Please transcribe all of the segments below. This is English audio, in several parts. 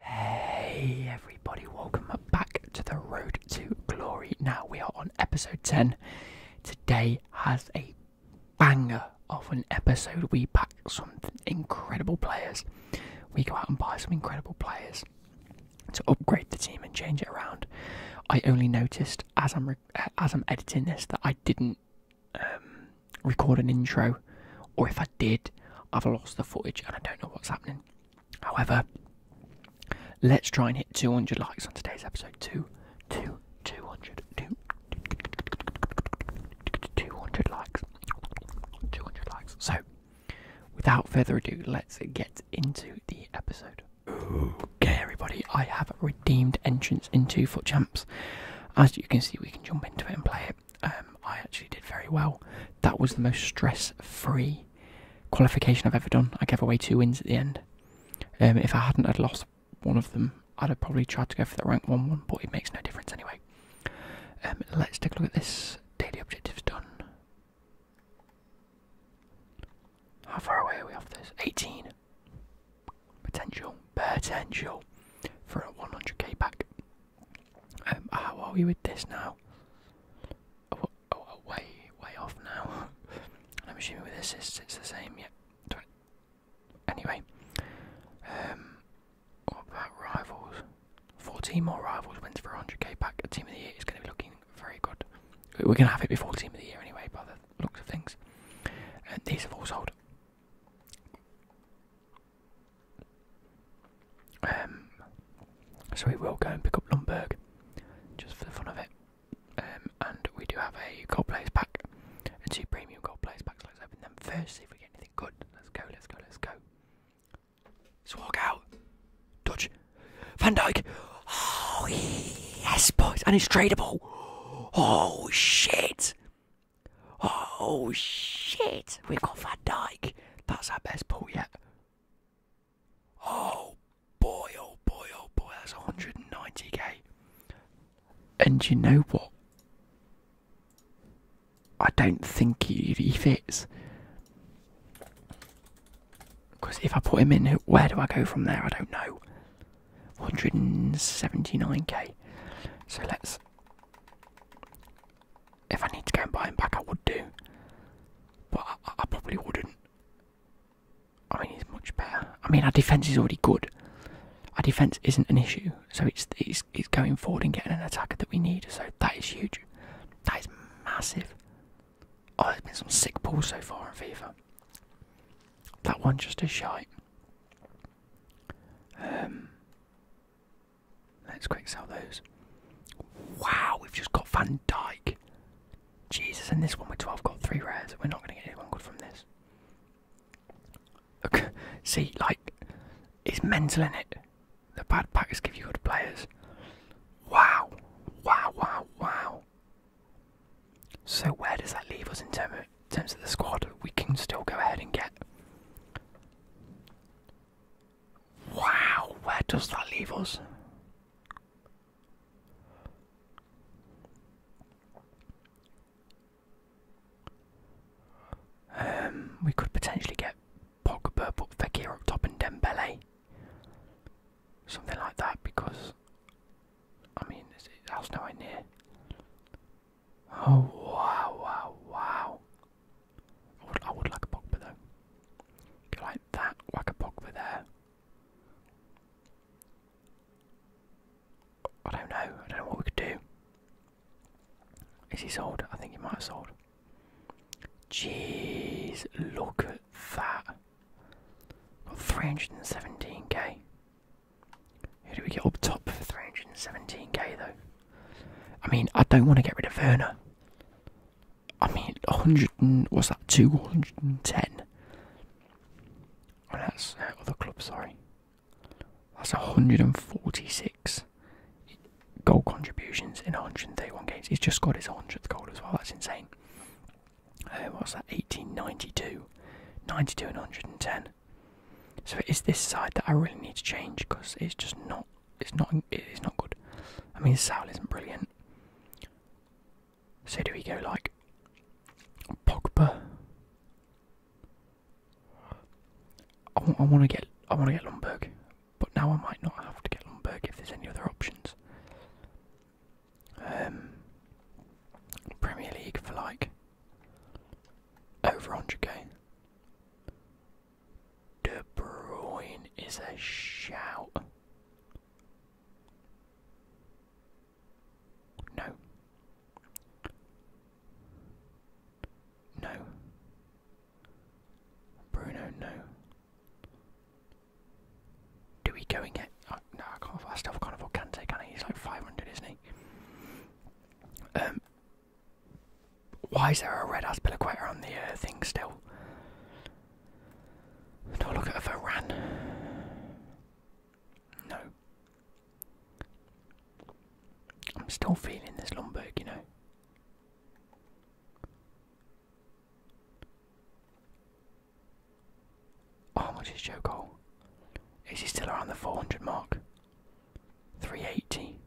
Hey everybody, welcome back to the Road to Glory. Now we are on episode 10. Today has a banger of an episode. We pack some incredible players. We go out and buy some incredible players to upgrade the team and change it around. I only noticed as I'm uh, as I'm editing this that I didn't um, record an intro or if I did, I've lost the footage and I don't know what's happening. However, let's try and hit 200 likes on today's episode. Two, two, 200, likes. 200 likes. So, without further ado, let's get into the episode. Okay, everybody, I have redeemed entrance into Foot As you can see, we can jump into it and play it. Um, I actually did very well. That was the most stress-free qualification I've ever done. I gave away two wins at the end. Um, if I hadn't had lost one of them, I'd have probably tried to go for the rank one one, but it makes no difference anyway. Um, let's take a look at this. Daily objectives done. How far away are we off this? 18. Potential. Potential. For a 100k pack. Um, how are we with this now? way, way off now. I'm assuming this it's, it's the same, yeah. Anyway, um, about rivals? 14 more rivals went for 100k back. A team of the year is going to be looking very good. We're going to have it before team of the year anyway, by the looks of things. And these have all sold. Um, so we will go and pick up Lundberg just for the fun of it. Um, and we do have a gold players pack and two premium gold players packs. Let's open them first, see if we get anything good. Let's go, let's go, let's go. Let's walk out. Dodge. Van Dyke. Oh, yes, boys. And it's tradable. Oh, shit. Oh shit! We've got Van Dyke. That's our best pull yet. Oh boy! Oh boy! Oh boy! That's 190k. And you know what? I don't think he, he fits. Because if I put him in, where do I go from there? I don't know. 179k. So let's if I need to go and buy him back, I would do. But I, probably wouldn't. I mean, he's much better. I mean, our defence is already good. Our defence isn't an issue, so it's, it's it's going forward and getting an attacker that we need. So that is huge. That is massive. Oh, there's been some sick balls so far in FIFA. That one just a shite. Um, Let's quick sell those. Wow, we've just got Van Dyke. Jesus, and this one with 12 got three rares. We're not going to get anyone good from this. Look, see, like, it's mental in it. The bad packs give you good players. Wow, wow, wow, wow. So where does that leave us in terms of the squad? We can still go ahead and get Wow, where does that leave us? Um, we could potentially get Pogba, but Fekir up top and Dembele, something like that. Because I mean, it's, it, that's nowhere near Oh wow, wow, wow. I would, I would like a Pogba though. Go like that, whack a Pogba there. I don't know, I don't know what we could do. Is he sold? I think he might have sold. Jeez, look at that. 317k. How do we get up top for 317k though? I mean, I don't want to get rid of Werner. I mean, 100 and, what's that, 210? Oh, that's uh, other club, sorry. That's 146 goal contributions in 131 games. He's just got his 100th goal as well, that's insane. Um, what's that, 1892? 92 and 110. So it is this side that I really need to change because it's just not it's not it's not good. I mean Sal isn't brilliant. So do we go like Pogba? I, I want to get I want to get Lundberg, but now I might not have to get Lundberg if there's any other options. Um, Premier League for like over 100k. De Bruyne is a shout. No. No. Bruno, no. Do we go and get? Oh, no, I can't. I still can't afford Kante, can I? He's like 500, isn't he? Um, why is there a red aspilaqueta on the uh, thing still? Do I look at a Varan? No. I'm still feeling this Lundberg, you know. how much is Joe Cole? Is he still around the 400 mark? 380.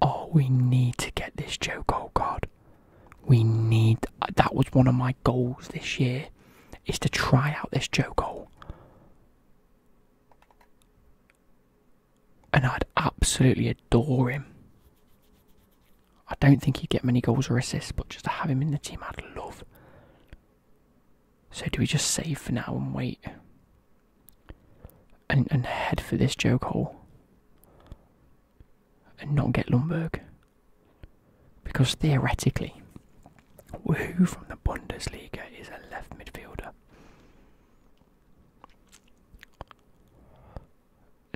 Oh, we need to get this Joe goal card. We need uh, that was one of my goals this year is to try out this Joe goal. And I'd absolutely adore him. I don't think he'd get many goals or assists, but just to have him in the team I'd love. So do we just save for now and wait? and, head for this joke hole and not get Lundberg. Because theoretically, who from the Bundesliga is a left midfielder?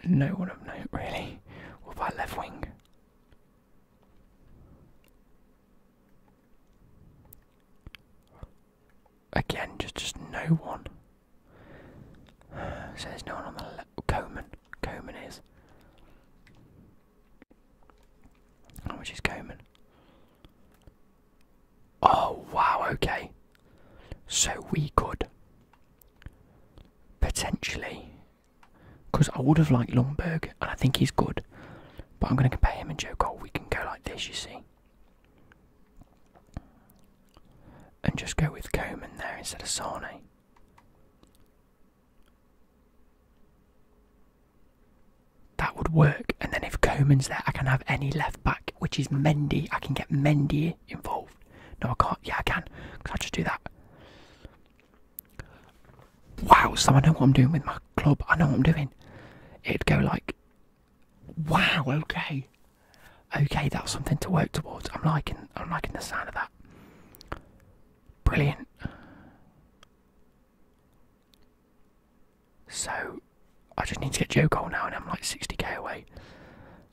No one of note, really. or by left wing? Again, just just no one. So there's no one on the left. Coman. Coman is. Oh, which much is Coman? Oh, wow, okay. So we could potentially. Because I would have liked Lundberg, and I think he's good. But I'm going to compare him and Joe Cole. Oh, we can go like this, you see and just go with Komen there instead of Sane. That would work, and then if Komen's there, I can have any left back, which is Mendy. I can get Mendy involved. No, I can't. Yeah, I can. Because I just do that. Wow, so I know what I'm doing with my club. I know what I'm doing. It'd go like Wow, okay. Okay, that's something to work towards. I'm liking I'm liking the sound of that. Brilliant. So I just need to get Joe Cole now and I'm like 60k away.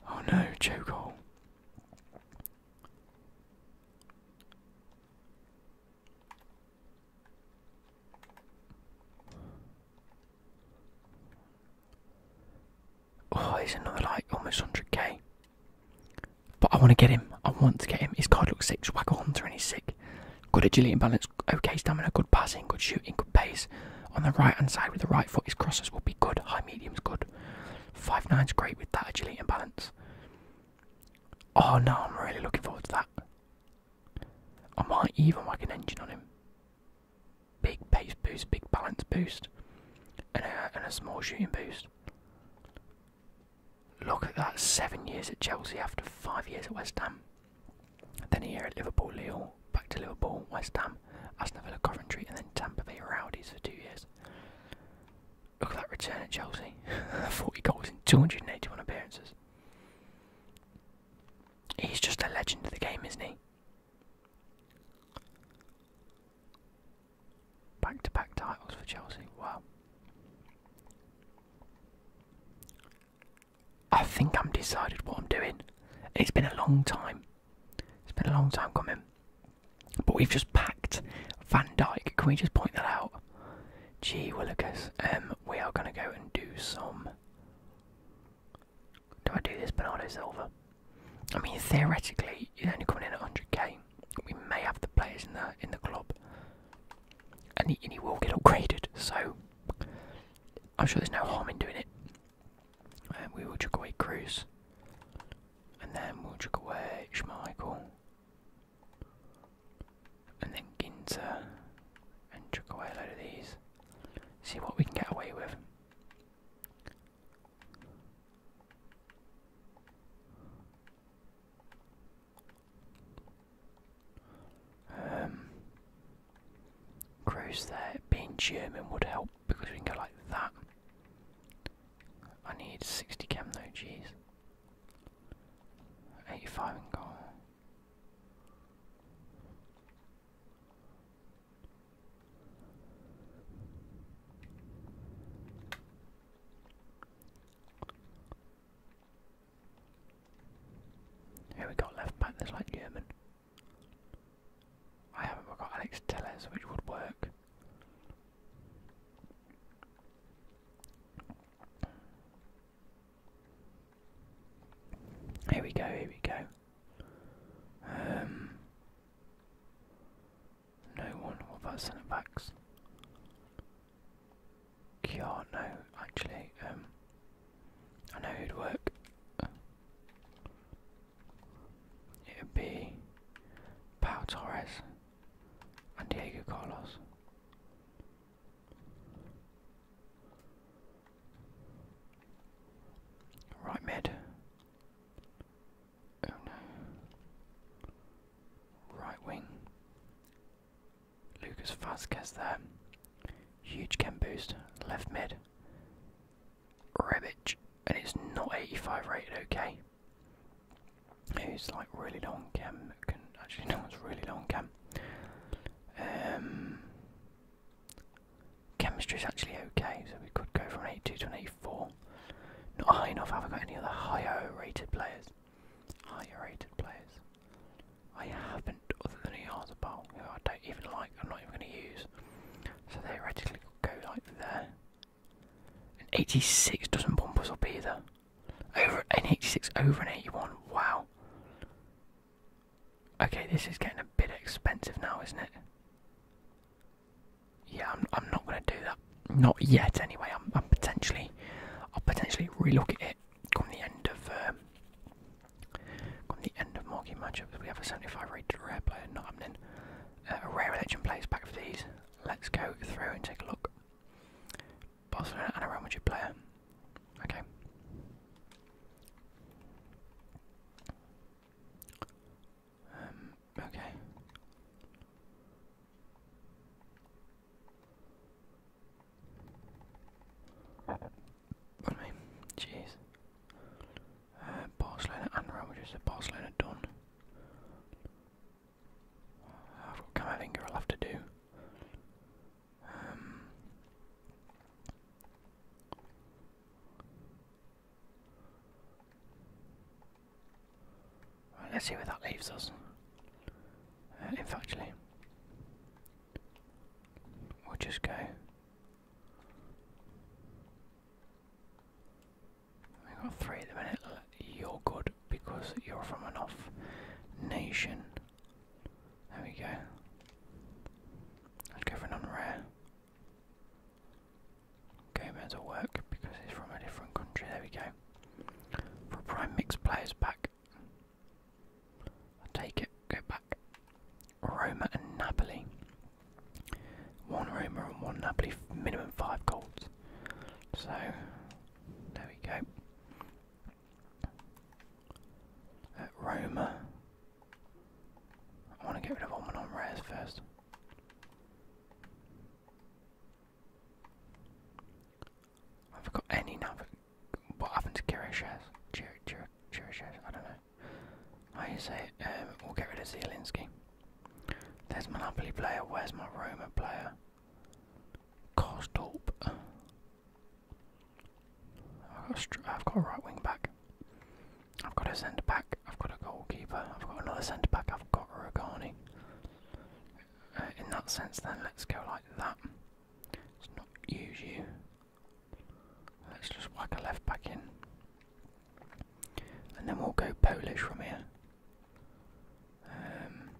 Oh no, Joe Cole. Oh, he's another like almost 100k. But I want to get him. I want to get him. His card looks sick. Swagger Hunter and he's sick. Good agility and balance. Okay stamina. Good passing. Good shooting. Good pace. On the right hand side with the right foot, his crosses will be good. High medium's good. 5-9's great with that agility balance. Oh no, I'm really looking forward to that. I might even whack an engine on him. Big pace boost, big balance boost, and a, and a small shooting boost. Look at that, seven years at Chelsea after five years at West Ham. Then here at Liverpool, Lille, back to Liverpool, West Ham, Aston Villa, Coventry, and then Tampa Bay Rowdies for two years. Look at that return at Chelsea, 40 goals in 281 appearances. He's just a legend of the game, isn't he? Back to back titles for Chelsea. Wow. I think I'm decided what I'm doing. It's been a long time. It's been a long time coming. But we've just packed Van Dyke. Can we just point that out? Gee Willikers, um, we are gonna go and do some do I do this Bernardo Silva? I mean, theoretically, you're only coming in at 100k. We may have the players in the in the club, and he, and he will get upgraded. So I'm sure there's no harm in doing it. And um, we will chuck away Cruz, and then we'll chuck away Schmeichel and then ginter, and chuck away a load of these. See what we can get away with. Um, there, being German would help because we can go like that. I need 60 chem jeez. 85 and goal. Who we got left back? There's like German. I haven't got Alex Tellez, which would work. Here we go, here we go. Um, no one, what about centre backs? Yeah, no, actually, um, I know who'd work. It'd be Pau Torres and Diego Carlos. Right mid. Oh no. Right wing. Lucas Vasquez there. Huge chem boost. Left mid. Rebic. And it's not 85 rated, okay. Who's like really long cam. actually, no one's really long cam. Um, Chemistry is actually okay, so we could go from an 82 to an 84. Not high enough, have I got any other higher rated players? Higher rated players. I haven't, other than Yazabal, who I don't even like, I'm not even going to use. So theoretically, could go like there. An 86 doesn't bump us up either. Over an 86 over an 81. Wow. Okay, this is getting a bit expensive now, isn't it? Yeah, I'm not gonna do that. Not yet, anyway. I'm potentially I'll potentially relook at it come the end of um, come the end of marquee matchups. We have a 75 rated rare player not happening. Uh, a rare legend plays back for these. Let's go through and take a look. Barcelona and a player. Okay. Um, okay. Pardon me. Jeez. Uh, Barcelona and Real Madrid, so Barcelona done. I've got Camavinga, i have to do. Um, let's see where that leaves us. In uh, if we'll just go. We've got three at the minute. You're good because you're from an off nation. There we go. Let's go for an unrare. Okay, will work because it's from a different country. There we go. For prime mix players pack. i take it, go back. Roma and Napoli. One Roma and one Napoli, minimum five goals. So, there we go. At Roma. I want to get rid of all my rares first. I I've got any number. What happened to Kirishas? Kirishas? I don't know. I you say um, we'll get rid of Zielinski. There's monopoly player. Where's my Roma player? Kostorp. I've got, a right wing back. I've got a centre back. I've got a goalkeeper. I've got another centre back. I've got Rogani. Uh, in that sense, then let's go like that. Let's not use you. Let's just whack a left back in, and then we'll go Polish from here. Um,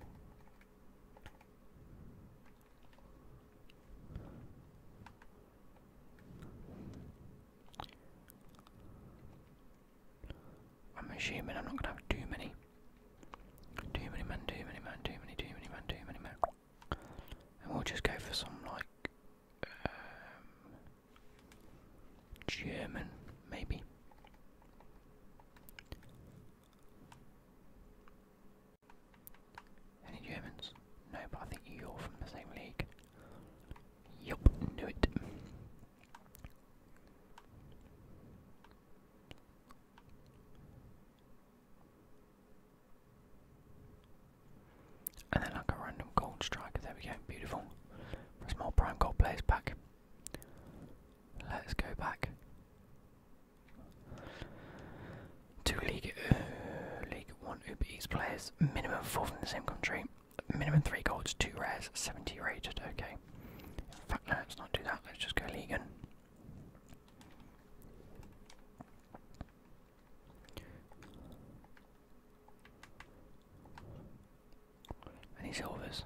I'm assuming I'm not gonna have too many. Too many men, too many men, too many, too many men, too many men. And we'll just go for some like um, German, maybe. Any Germans? No, but I think you're from the same league. Yup, knew it. And then like a random gold strike, there we go, beautiful. a small prime gold players back. Let's go back. Two League, uh, League One Uber players, minimum four from the same country, minimum three golds, two rares, 70 rated. Okay. In no, let's not do that. Let's just go Legan. Any silvers?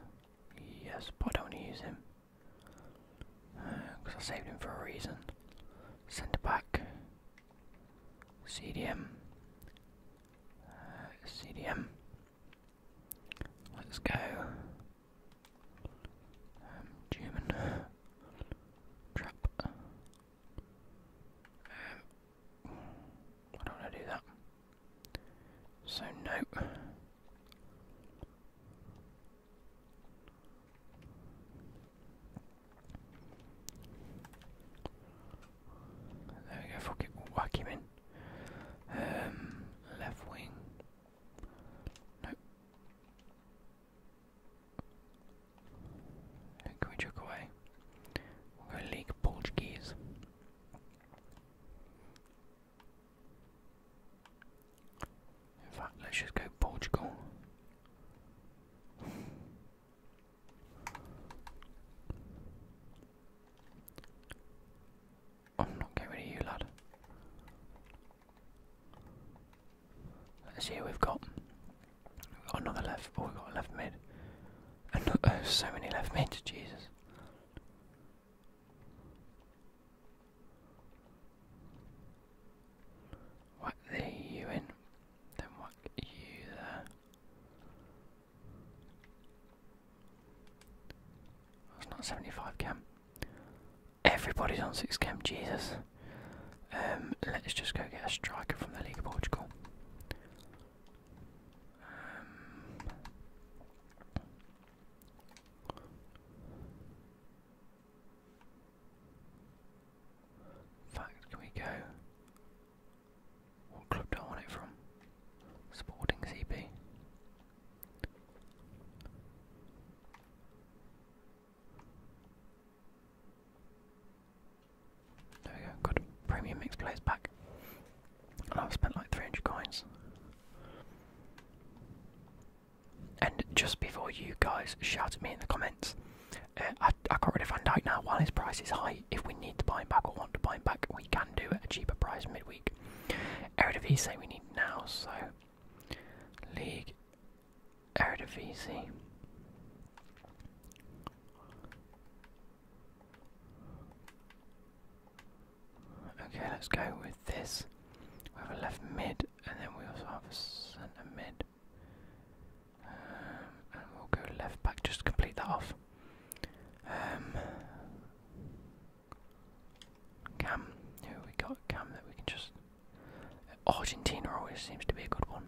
Yes, but I don't want to use him. Because I saved him for a reason. Centre back. CDM. Uh, CDM. Let's go. Um, German. Trap. Um, I don't want to do that. So, nope. There we go, fuck it, we Um, left wing. Nope. Can we chuck away? We'll go League Portuguese. In fact, let's just go Portugal. I'm not getting rid of you, lad. Let's see who we've got. We've got another left, oh, we've got a left mid. And, uh, so many left mids, Jesus. Whack the you in, then whack you there. That's not 75 cam. Everybody's on 6 cam, Jesus. Um, let's just go get a striker from the League of Portugal. Um, fact, can we go? What club do I want it from? Sporting CB. There we go, got premium mix players back. I've spent like 300 coins. And just before you guys shout at me in the comments, uh, I, I got rid of Van Dyke now while his price is high. If we need to buy him back or want to buy him back, we can do at a cheaper price midweek. Eredivisie we need now, so League Eredivisie. Okay, let's go with this. We have a left mid, and then we also have a centre mid. Um, and we'll go left back just to complete that off. Um, Cam, who we got? Cam that we can just. Argentina always seems to be a good one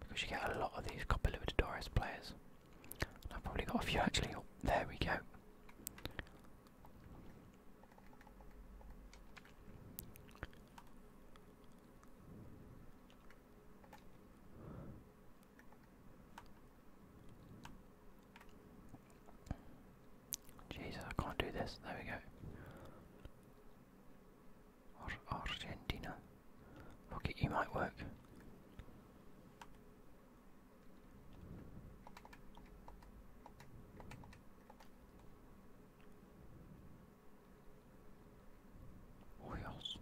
because you get a lot of these Copa Libertadores players. I've probably got a few actually. there we go. Jesus, I can't do this. There we go. Argentina. Rocket, you might work. Wheels.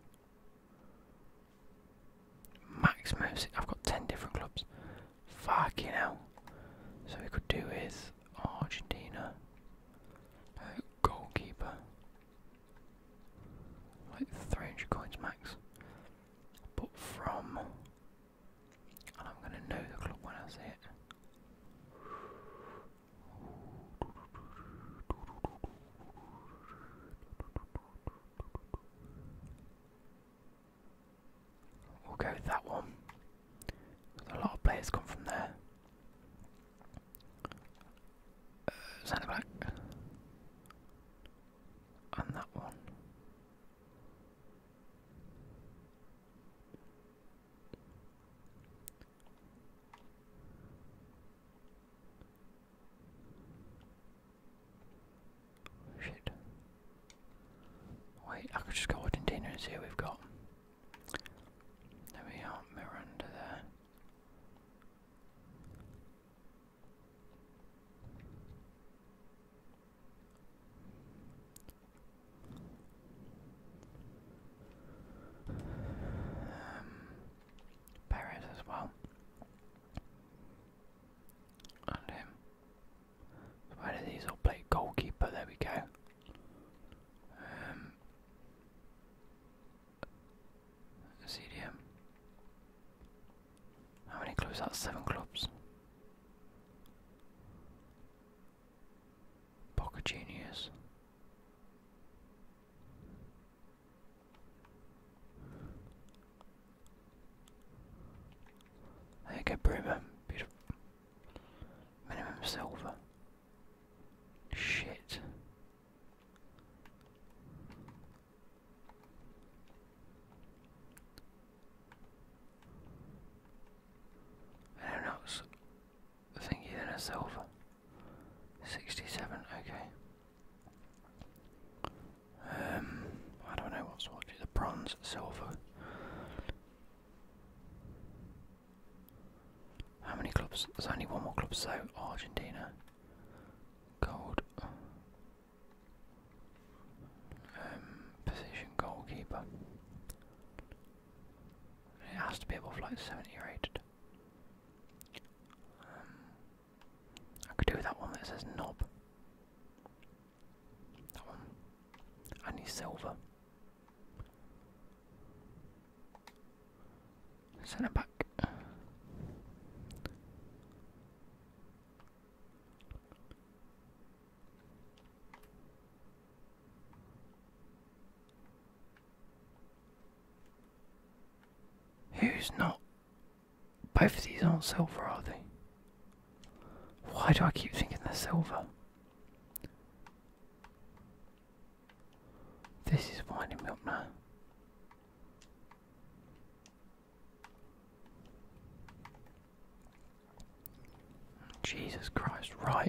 Max moves. I've got ten different clubs. Fucking hell. So we could do with Argentina. goalkeeper. Like 300 coins max. But from and I'm going to know the clock when I see it. We'll go with that one. A lot of players come from there. Uh, centre back. And that one. Wait, I could just go what containers here we've got. There we are, mirror under there. Um, as well. And him. Where did these all play goalkeeper? There we go. CDM. Um, How many clubs? seven clubs. Boca genius. There Bruma. Beautiful. Minimum silver. Shit. I don't know, it's thingy than a silver. 67, okay. Um, I don't know what's what, the bronze, silver. How many clubs? There's only one more club, so Argentina. Gold. Um, position goalkeeper. It has to be above like 70 rated. Um, I could do with that one that says knob. That one. I need silver. Centre back. Who's not? Both of these aren't silver, are they? Why do I keep thinking they're silver? This is winding me up now. Jesus Christ, right.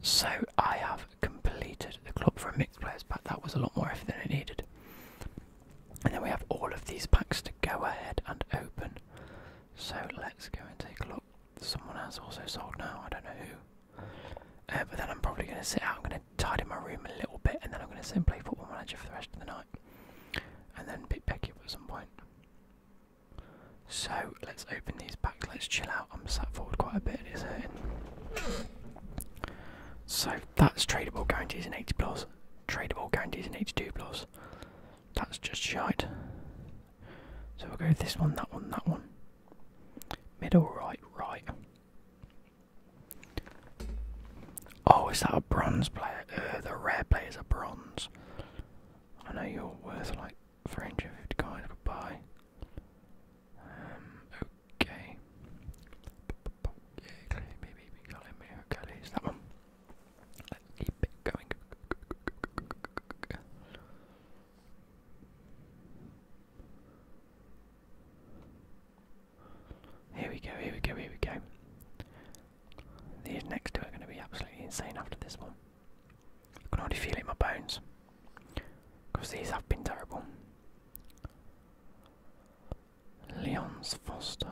So I have completed the club for mixed players but That was a lot more effort than it needed. And then we have all of these packs to go ahead and open. So let's go and take a look. Someone has also sold now, I don't know who. Uh, but then I'm probably going to sit out, I'm going to tidy my room a little bit, and then I'm going to simply and play Football Manager for the rest of the night. And then pick back up at some point. So let's open these packs, let's chill out. I'm sat forward quite a bit, it is hurting. So that's tradable guarantees in 80 plus, tradable guarantees in 82 plus. That's just shite. So we'll go this one, that one, that one. Middle, right, right. Oh, is that a bronze player? Uh, the rare players are bronze. I know you're worth like 350 guys, goodbye. Um, okay. Yeah, clearly, maybe, maybe, maybe, maybe, that one. Let's keep it going. Here we go, here we go, here we go. These next two are going to be absolutely insane after this one. I can already feel it in my bones. Because these have been terrible. Leon's Foster.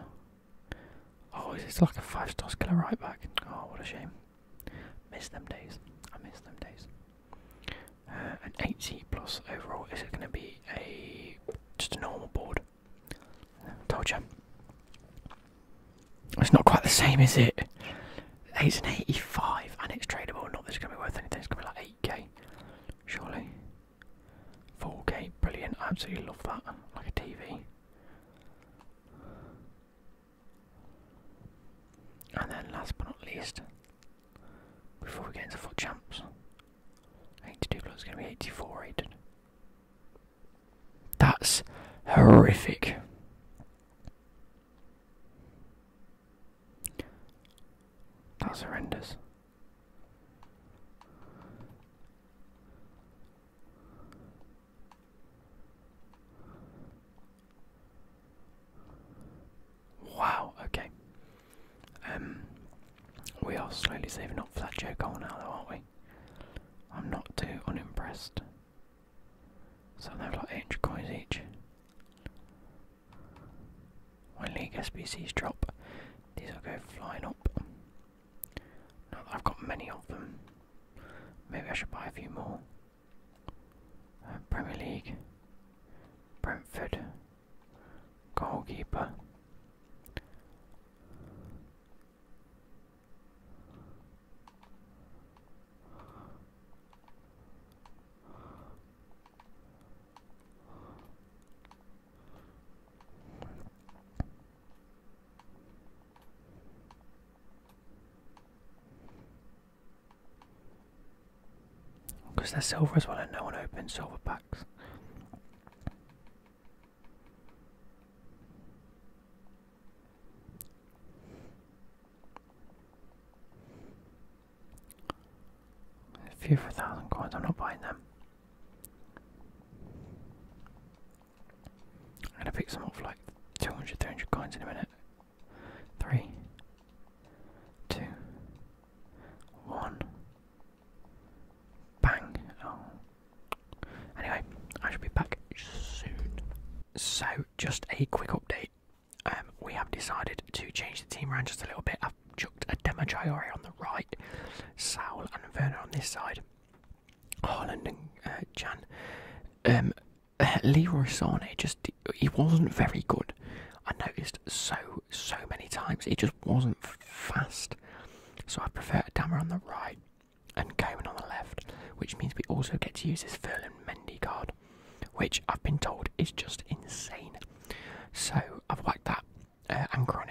Oh, it's like a five star skiller right back. Oh, what a shame. Missed them days. I miss them days. Uh, an 80 plus overall. Is it going to be a just a normal board? told you. It's not quite the same, is it? It's an 85 and it's tradable. Not that it's going to be worth anything. It's going to be like 8k, surely. 4k, brilliant. I absolutely love that. Like a TV. And then last but not least, before we get into full champs, 82 plus is going to be 84 rated. That's horrific. That's horrendous. Wow, okay. Um we are slowly saving up for that Joe goal now aren't we? I'm not too unimpressed. So they have like 800 coins each. When League SBCs drop, these will go flying up. I've got many of them, maybe I should buy a few more. Uh, Premier League, Brentford, goalkeeper. Because they're silver as well, and no one opens silver packs. A few for a thousand coins, I'm not buying them. I'm gonna pick some up like 200, 300 coins in a minute. Three, two, one. Bang! Oh. Anyway, I shall be back soon. So, just a quick update. Um, we have decided to change the team around just a little bit. I've chucked a Demo on the right, Saul and Vernon on this side. Haaland and uh, Jan. Um, uh, Leroy Sané just he wasn't very good. I noticed so so many times he just wasn't fast. So I prefer Dammer on the right and Coman on the left, which means we also get to use this Ferland Mendy card, which I've been told is just insane. So I've whacked that uh, anchor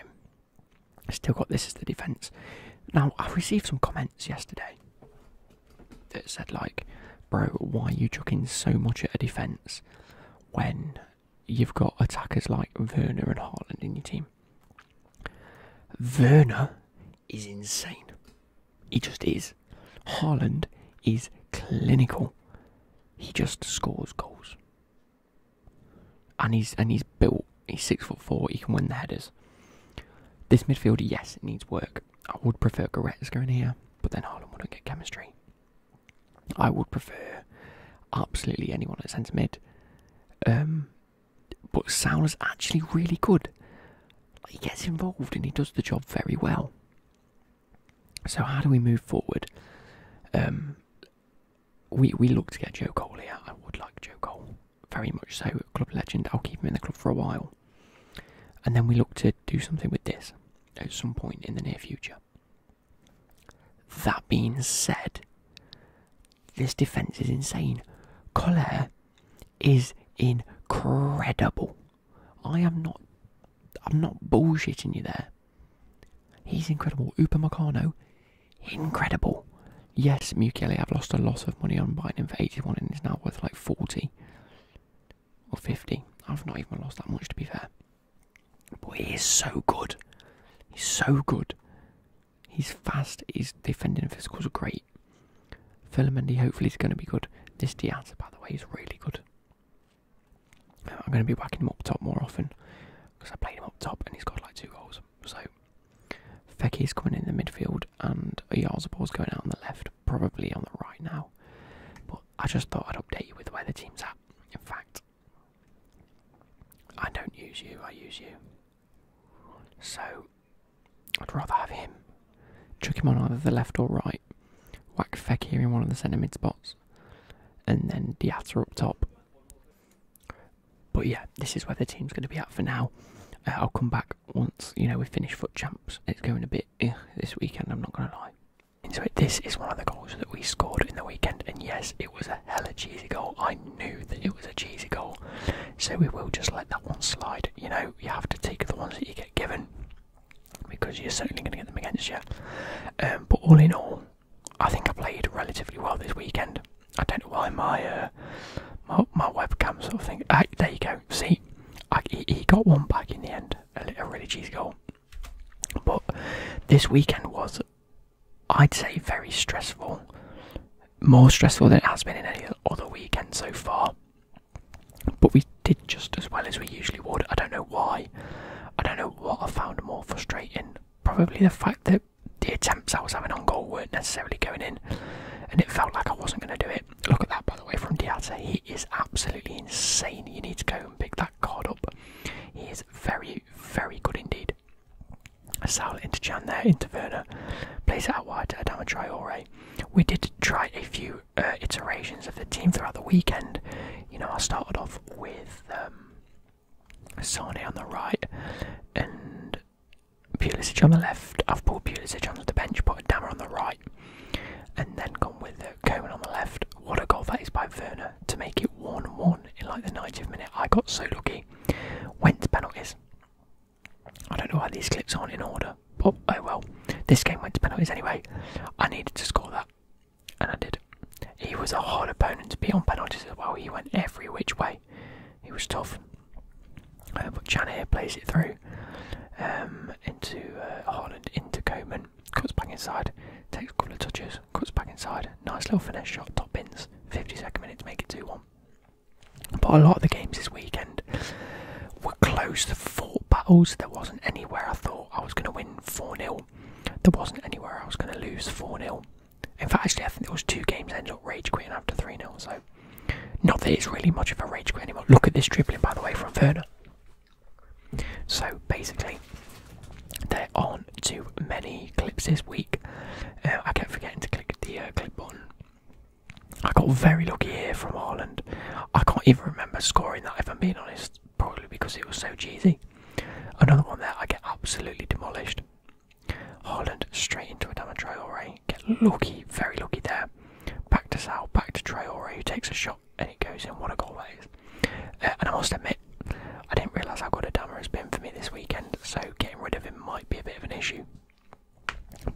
I Still got this as the defence. Now, I received some comments yesterday that said, like, bro, why you chucking so much at a defence when you've got attackers like Werner and Haaland in your team? Werner is insane. He just is. Haaland is clinical. He just scores goals and he's and he's built. He's six foot four. He can win the headers. This midfielder, yes, it needs work. I would prefer Goretzka in here, but then Haaland wouldn't get chemistry. I would prefer absolutely anyone at centre mid. Um, but Sauer's actually really good. He gets involved and he does the job very well. So how do we move forward? Um, we we look to get Joe Cole here. I would like Joe Cole very much so. Club legend. I'll keep him in the club for a while, and then we look to do something with this at some point in the near future. That being said, this defense is insane. Cole is incredible. I am not. I'm not bullshitting you there. He's incredible. Upamecano incredible. Yes, i have lost a lot of money on buying him for 81 and he's now worth like 40 or 50. I've not even lost that much to be fair. But he is so good. He's so good. He's fast, his defending physicals are great. Filamendi hopefully is going to be good. This Diaz, by the way, is really good. I'm going to be backing him up top more often because I played him up top and he's got like two goals. So Fecky's coming in the midfield and Oyarzabal going out on the left, probably on the right now. But I just thought I'd update you with where the team's at. In fact, I don't use you, I use you. So I'd rather have him. Trick him on either the left or right. Whack Fecky in one of the centre mid spots. And then Diatta up top. But yeah, this is where the team's going to be at for now. Uh, I'll come back once you know we finish foot champs. It's going a bit eh, this weekend. I'm not going to lie. So this is one of the goals that we scored in the weekend, and yes, it was a hella cheesy goal. I knew that it was a cheesy goal, so we will just let that one slide. You know, you have to take the ones that you get given because you're certainly going to get them against you. Um, but all in all, I think I played relatively well this weekend. I don't know why my uh, my, webcam sort of thing. Ah, there you go. See, he, got one back in the end, a really cheesy goal. But this weekend was, I'd say, very stressful. More stressful than it has been in any other weekend so far. But we did just as well as we usually would. I don't know why. I don't know what I found more frustrating. Probably the fact that the attempts I was having on goal weren't necessarily going in, and it felt like I wasn't going to do it. Look at that, by the way, from Diata. He is absolutely insane. You need to go and pick that card up. He is very, very good indeed. Sal into Jan there, into Werner. Plays it out wide I do to try Traore. We did try a few uh, iterations of the team throughout the weekend. You know, I started off with um, Sane on the right, and Pulisic on the left. I've pulled Pulisic onto the bench, put a Dammer on the right, and then gone with uh, Coman on the left. What a goal that is by Werner to make it 1 1 in like the 90th minute. I got so lucky. Went to penalties. I don't know why these clips aren't in order, but oh well. This game went to penalties anyway. I needed to score that, and I did. He was a hard opponent to beat on penalties as well. He went every which way. He was tough. Uh, but Chanier plays it through um, into Holland, uh, into Coman. Cuts back inside, takes a couple of touches, cuts back inside. Nice little finish shot, top bins. 52nd minute to make it 2 1. But a lot of the games this weekend were close. The four battles, there wasn't anywhere I thought I was going to win 4 0. There wasn't anywhere I was going to lose 4 0. In fact, actually, I think it was two games ends up rage Queen after 3 0. So, not that it's really much of a rage Queen anymore. Look at this dribbling, by the way, from Ferner. So, basically, they are on too many clips this week. Uh, I kept forgetting to click the uh, clip button. I got very lucky here from Ireland. I can't even remember scoring that, if I'm being honest, probably because it was so cheesy. Another one there, I get absolutely demolished. Holland straight into a Dama Traore. Get lucky, very lucky there. Back to Sal, back to Traore, who takes a shot and it goes in. What a goal that is. Uh, and I must admit, I didn't realise how good a Dama has been for me this weekend, so getting rid of him might be a bit of an issue.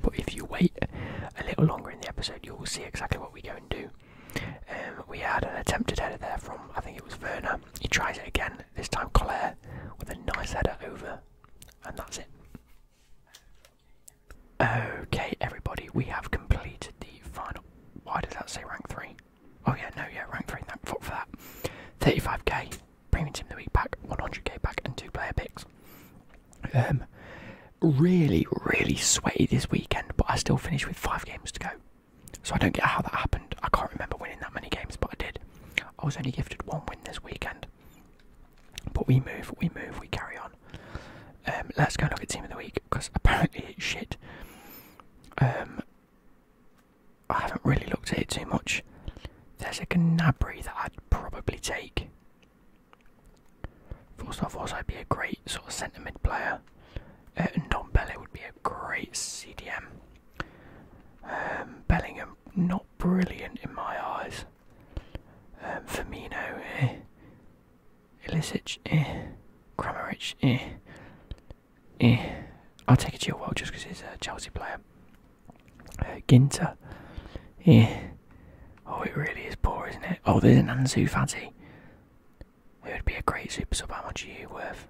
But if you wait a little longer in the episode, you will see exactly what we go and do. Um, we had an attempted header there from, I think it was Werner. He tries it again, this time Collier with a nice header over, and that's it. Okay, everybody, we have completed the final. Why did that say rank three? Oh yeah, no, yeah, rank three. Thank fuck for that. 35k premium team the week pack, 100k pack, and two player picks. Um, really, really sweaty this weekend, but I still finished with five games to go. So I don't get how that happened. I can't remember winning that many games, but I did. I was only gifted one win this weekend. But we move, we move, we carry on. Um, let's go and look at Team of the Week, because apparently it's shit. Um, I haven't really looked at it too much. There's a Gnabry that I'd probably take. First off, also, I'd be a great sort of centre mid player. Uh, Ndombele would be a great CDM. Um, Bellingham, not brilliant in my eyes. Um, Firmino, eh. Ilicic, eh. Kramaric, eh. Eh. I'll take it to a world just because he's a Chelsea player. Uh, Ginter, eh. Oh, it really is poor, isn't it? Oh, there's an Ansu Fati. It would be a great super sub. How much are you worth?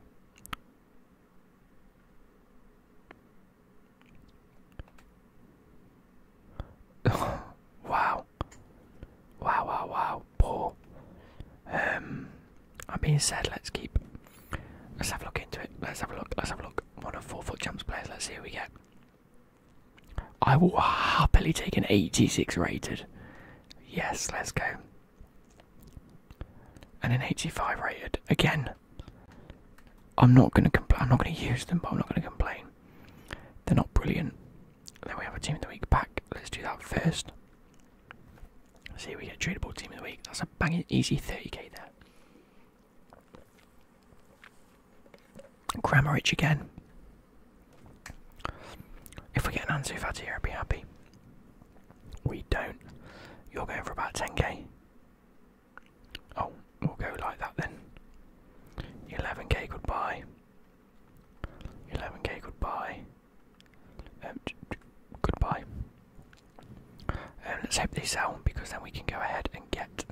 wow. Wow, wow, wow. Poor. Um, I'm being said, let's keep. Let's have a look into it. Let's have a look. Let's have a look. One of four foot jumps players. Let's see who we get. I will happily take an 86 rated. Yes, let's go and an 85 rated. Again, I'm not going to complain. I'm not going to use them, but I'm not going to complain. They're not brilliant. Then we have a team of the week pack. Let's do that first. See, if we get a tradable team of the week. That's a banging easy 30k there. Grammarich again. If we get an Ansu Fati here, I'd be happy. We don't. You're going for about 10k. Oh, we'll go like that then. 11k goodbye. 11k goodbye. Um, goodbye. Um, let's hope this sell because then we can go ahead and get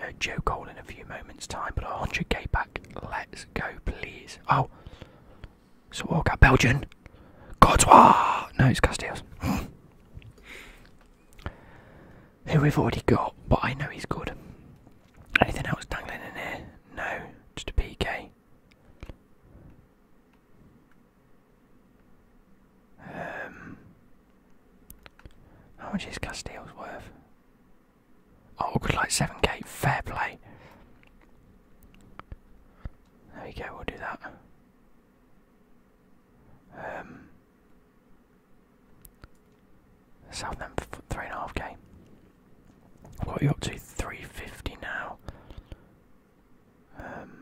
uh, Joe Cole in a few moments' time. But 100k back. Let's go, please. Oh, so we what got Belgian? Courtois! No, it's Castiles. Who we've already got, but I know he's good. Anything else dangling in here? No, just a PK. Um, how much is Castile's worth? Oh, good, like 7k. Fair play. There we go, we'll do that. Um, Southampton three and a half k. What are you up to? Three fifty now. Um,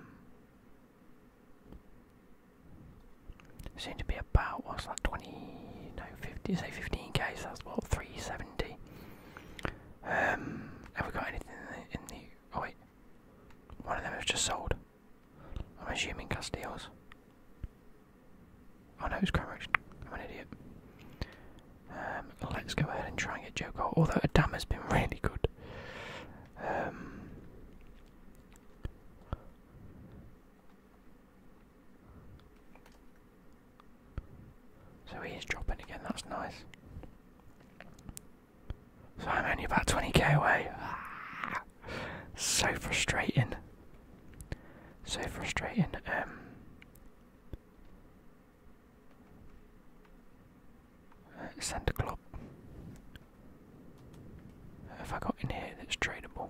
seem to be about what's that? Twenty no fifty. Say fifteen k. So that's what three seventy. Um, have we got anything in the, Oh wait, one of them has just sold. I'm assuming Castillo's. Oh no, it's Cranbrook. I'm an idiot. Um, let's go ahead and try and get Joe Cole. Although Adam has been really good. Um, so he is dropping again. That's nice. So I'm only about 20k away. Ah, so frustrating. So frustrating. Um, uh, Santa Club. Have I got in here that's tradable?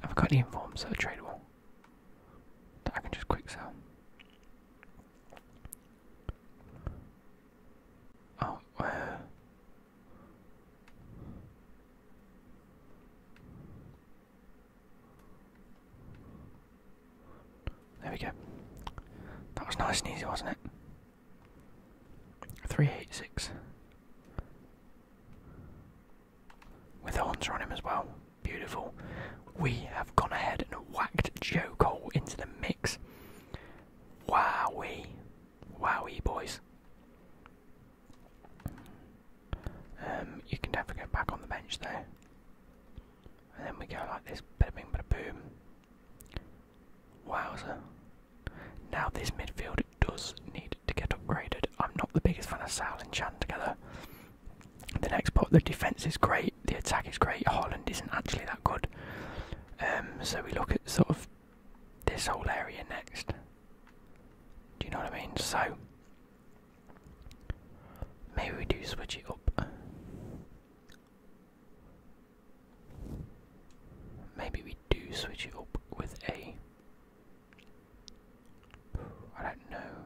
Have I got any informs that are tradable? that I can just quick sell. Oh, There we go. That was nice and easy, wasn't it? Three eight six. With the hunter on him as well. Beautiful. We have gone ahead and whacked Joe Cole into the mix. Wowie. Wowie, boys. Um, you can definitely go back on the bench there. And then we go like this, bada bing, bada boom. Wowzer. Now this midfield does need to get upgraded. I'm not the biggest fan of Sal and Chan together. The next part, the defence is great, the attack is great. Holland isn't actually that good. Um, so we look at sort of this whole area next. Do you know what I mean? So maybe we do switch it up. Maybe we do switch it up with a. I don't know.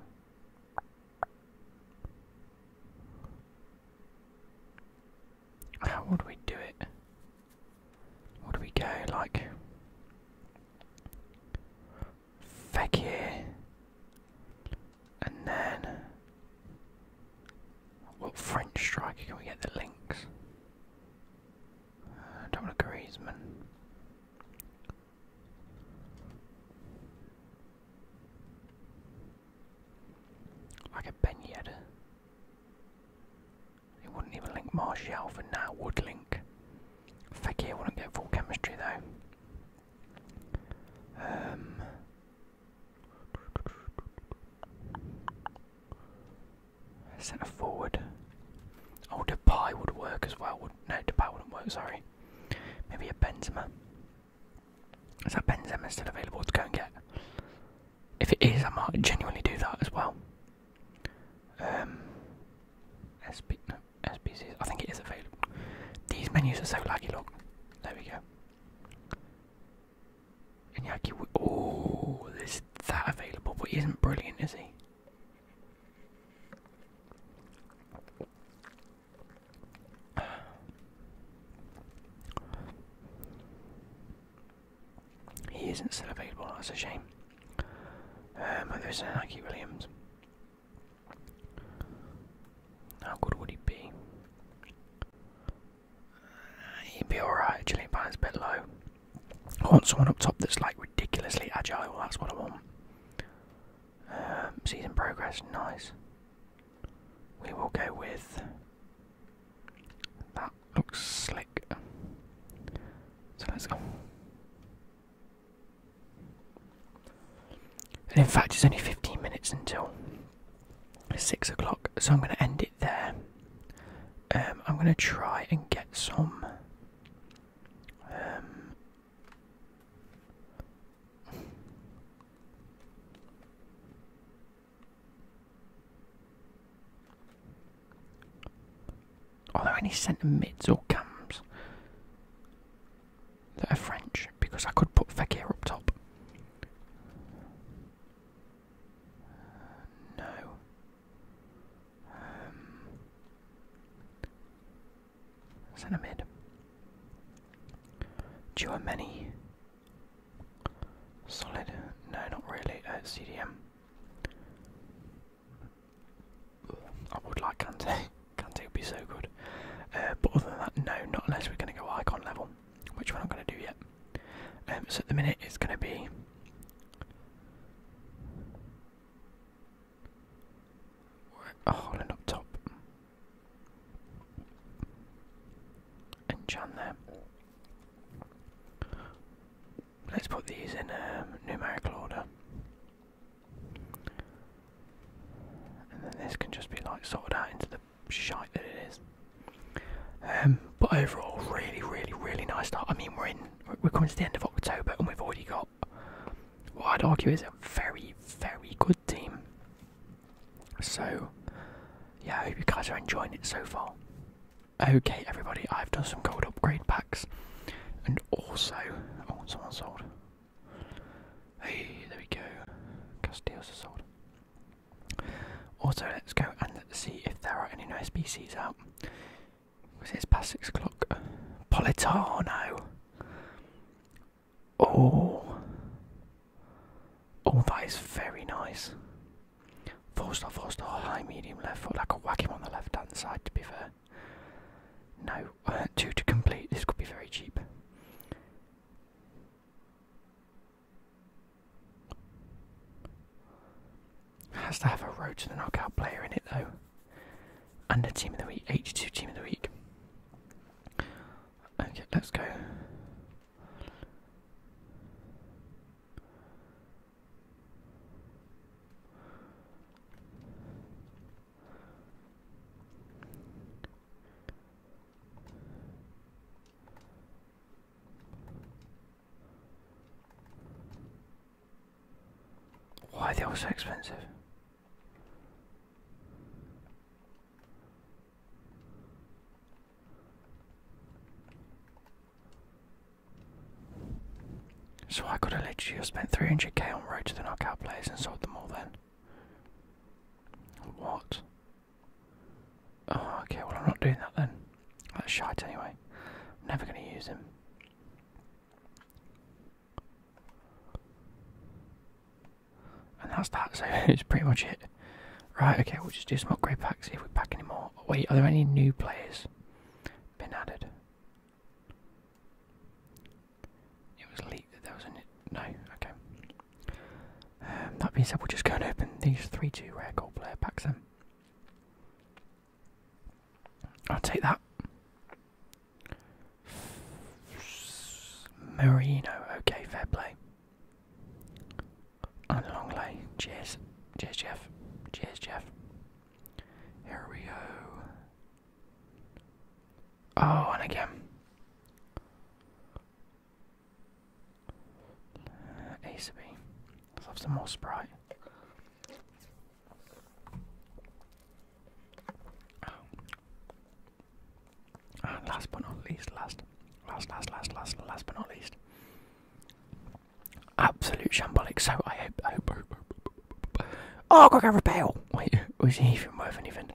How would we do it? What do we go like Fekir and then what French striker can we get the links? Uh, don't want Griezmann. Like a Ben It wouldn't even link Martial for now, would link. Fekir wouldn't get full chemistry though. Um Centre forward. Oh, the pie would work as well. Would, no, pie wouldn't work, sorry. Maybe a Benzema. Is that Benzema still available to go and get? If it is, I might genuinely do that as well. Um, SB, no, SBC, I think it is available. These menus are so laggy, look. There we go. Inyaki, oh, is that available? But he isn't brilliant, is he? He isn't still available, that's a shame. Um, but there's an Williams. How good would he be? Uh, he'd be alright, Gillian a bit low. I want someone up top that's like ridiculously agile, that's what I want. Um, season progress, nice. We will go with. That looks slick. So let's go. And in fact, it's only 15 minutes until 6 o'clock, so I'm going to end it there. Um, I'm going to try and get some um, are there any centre mids or cams that are French? Because I could put Fekir up top. no. Um, Cinnamid. many? Solid. No, not really. Uh, CDM. I would like Kante. Kante would be so good. Uh, but other than that, no, not unless we're going to go icon level, which we're not going to do yet. Um, so at the minute, it's going to be. Oh, Holland up top. And Jan there. Let's put these in um, numerical order. And then this can just be like sorted out into the shite that it is. Um, but overall, really, really, really nice start. I mean, we're in, we're coming to the end of October and we've already got what I'd argue is a very, very good team. So, yeah, I hope you guys are enjoying it so far. Okay, everybody, I've done some gold upgrade packs, and also, oh, someone sold. Hey, there we go. Castiles are sold. Also, let's go and see if there are any nice species out. Because it's past six o'clock. Politano! Oh. Oh, that is very nice. Four star, four star, high, medium, left foot. I could whack him on the left hand side, to be fair. No, two to complete. This could be very cheap. Has to have a road to the knockout player in it, though. And the team of the week, 82 team of the week. Okay, let's go. Why are they all so expensive? So I could have literally spent 300k on road to the knockout players and sold them all then. What? Oh, okay, well, I'm not doing that then. That's shite anyway. never going to use him. And that's that, so it's pretty much it. Right, okay, we'll just do some upgrade packs, see if we pack any more. Wait, are there any new players been added? It was leaked that there was a... no, okay. Um, that being said, we'll just go and open these 3-2 rare gold player packs then. I'll take that. Merino, okay, fair play. And Longley, cheers. Cheers, Jeff. Cheers, Jeff. Here we go. Oh, and again. Uh, Ace Let's have some more Sprite. Ah, last but not least, last, last, last, last, last, last but not least, absolute shambolic. So I hope, I hope, hope, hope, hope. oh, got Gareth Bale. Wait, was he even worth anything?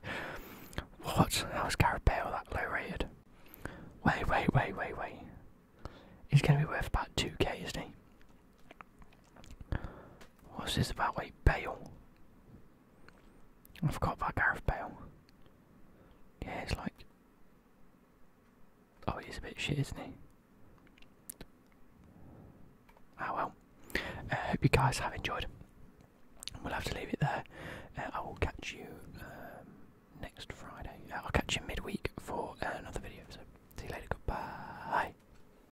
What? How is Gareth Bale that low rated? Wait, wait, wait, wait, wait. He's going to be worth about two k, isn't he? What's this about? Wait, bail? I forgot about Gareth Bale. Yeah, it's like. Oh, he's a bit shit, isn't he? Ah oh, well. I uh, hope you guys have enjoyed. We'll have to leave it there. Uh, I will catch you um, next Friday. Uh, I'll catch you midweek for another video. So, see you later. Goodbye.